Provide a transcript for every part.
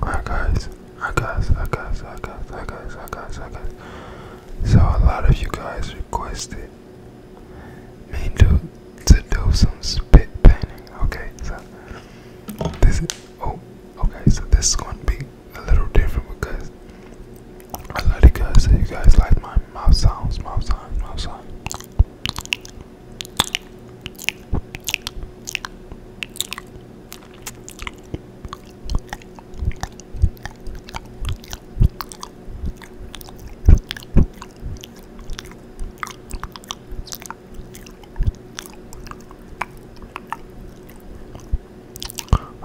Alright guys, I guess, I guess, I guess, I guess, I guess, I guess. So a lot of you guys requested me to to do some spit painting. Okay, so this is oh okay, so this is gonna be a little different because a lot of you guys say you guys like my mouth sounds, mouth sounds, mouth sounds.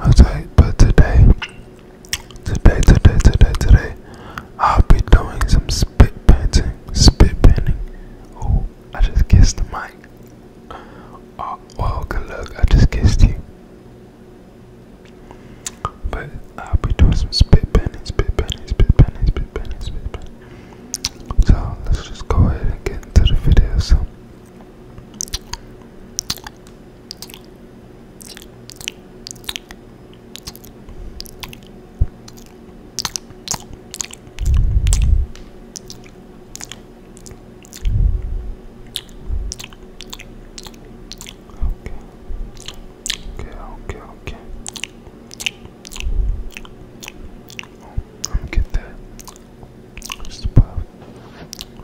Okay, but today, today, today, today, today, I'll be doing some spit painting, spit painting. Oh, I just kissed the mic. Oh, well, good luck. I just kissed you. But I'll be doing some spit pennies, spit pennies, spit pennies, spit pennies, spit pennies. So let's just go ahead and get into the video. So. Okay, okay, okay. Oh, I'm gonna get that. Just above.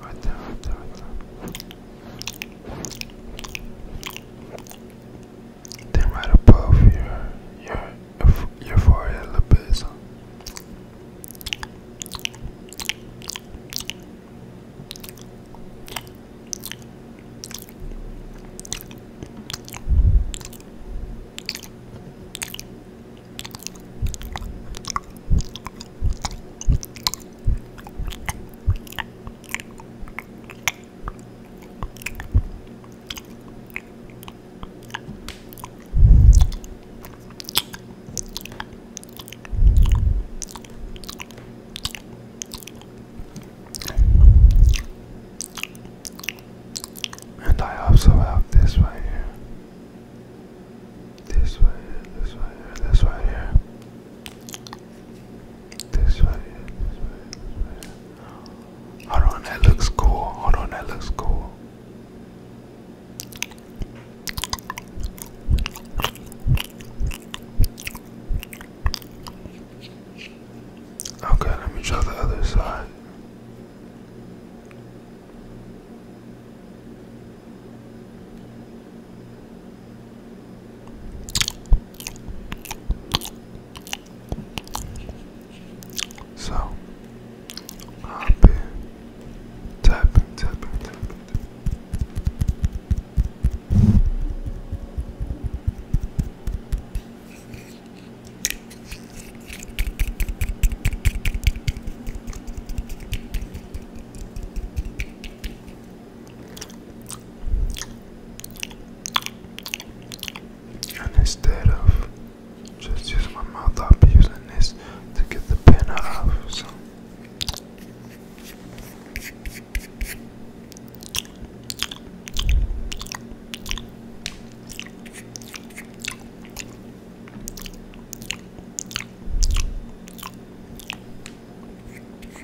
Right there, right there, right there. Then right above your your your forehead a little bit. So. And I also have this right here. This right here, this right here, this right here. This right here, this right here, Hold on, that looks cool. Hold on, that looks cool. Okay, let me try the other side. So I've tapping, tapping, tapping instead of just using my mouth, I'll be using this to get the pen out So.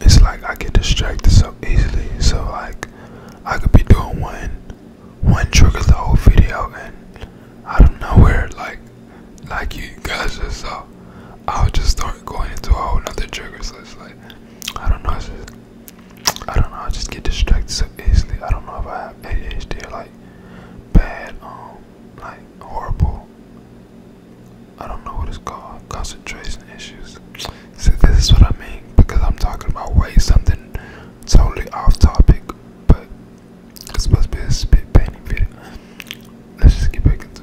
it's like I get distracted so easily. So like I could be doing one one trigger the whole video and I don't know where like like you guys just so, uh, I'll just start going into a whole nother trigger so it's like I don't know, I don't know, I just get distracted so easily. I don't know if I have ADHD like bad um like horrible I don't know what it's called. Concentration issues. See, this is what I mean because I'm talking about weight. something totally off topic, but it's supposed to be a spit painting video. Let's just get back into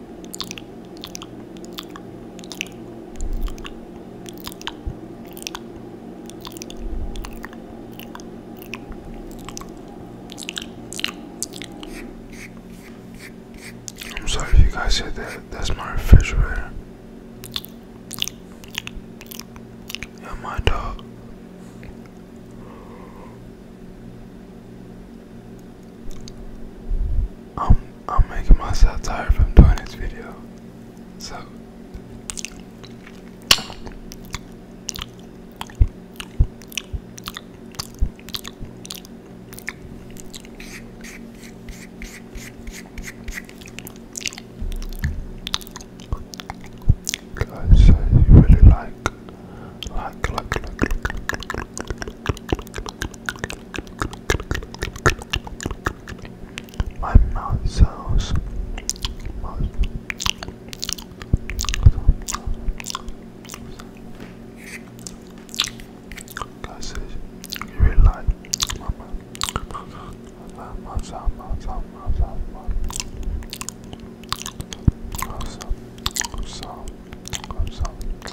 I'm sorry if you guys hear that. That's my refrigerator. Yeah, my dog. I'm I'm making myself tired from doing this video. So Guys, so you really like, like, like, like, like, my mouth sounds. Guys, you really my mouth. My mouth sound, mouth sound, mouth mouth Mouth mouth mouth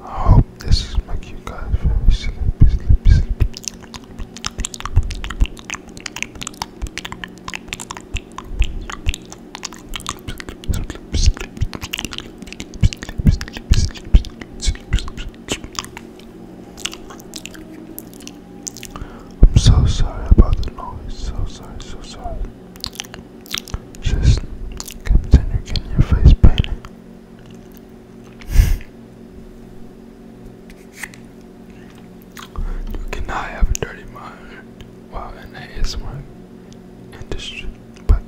I hope this is my cue, guys very I'm so sorry about the noise, so sorry, so sorry. Just continue your face painted you cannot have a dirty mind while in the ASMR industry, but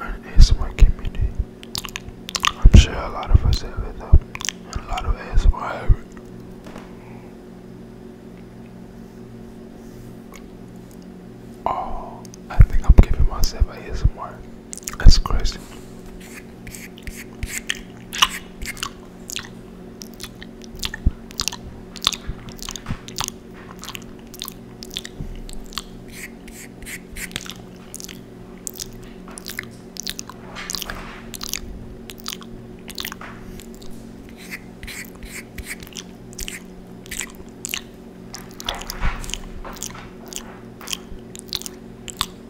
in the community, I'm sure a lot of us have it though, a lot of ASMR Oh, I think I'm giving myself ASMR. That's crazy.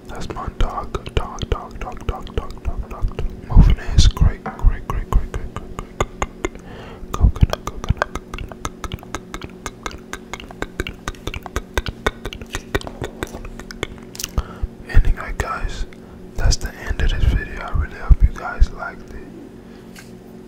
That's my dog, dog, dog, dog, dog, dog, dog, dog. Moving is great, great, great, great, great, great, great, great, coconut, coconut, coconut, coconut. Anyway, guys, that's the end of this video. I really hope you guys liked it.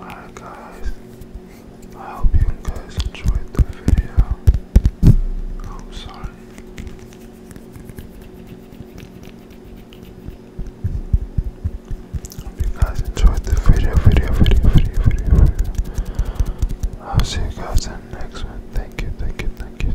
Alright guys, I hope you guys enjoyed the video. I'm sorry. hope you guys enjoyed the video, video, video, video, video, video. I'll see you guys in the next one. Thank you, thank you, thank you.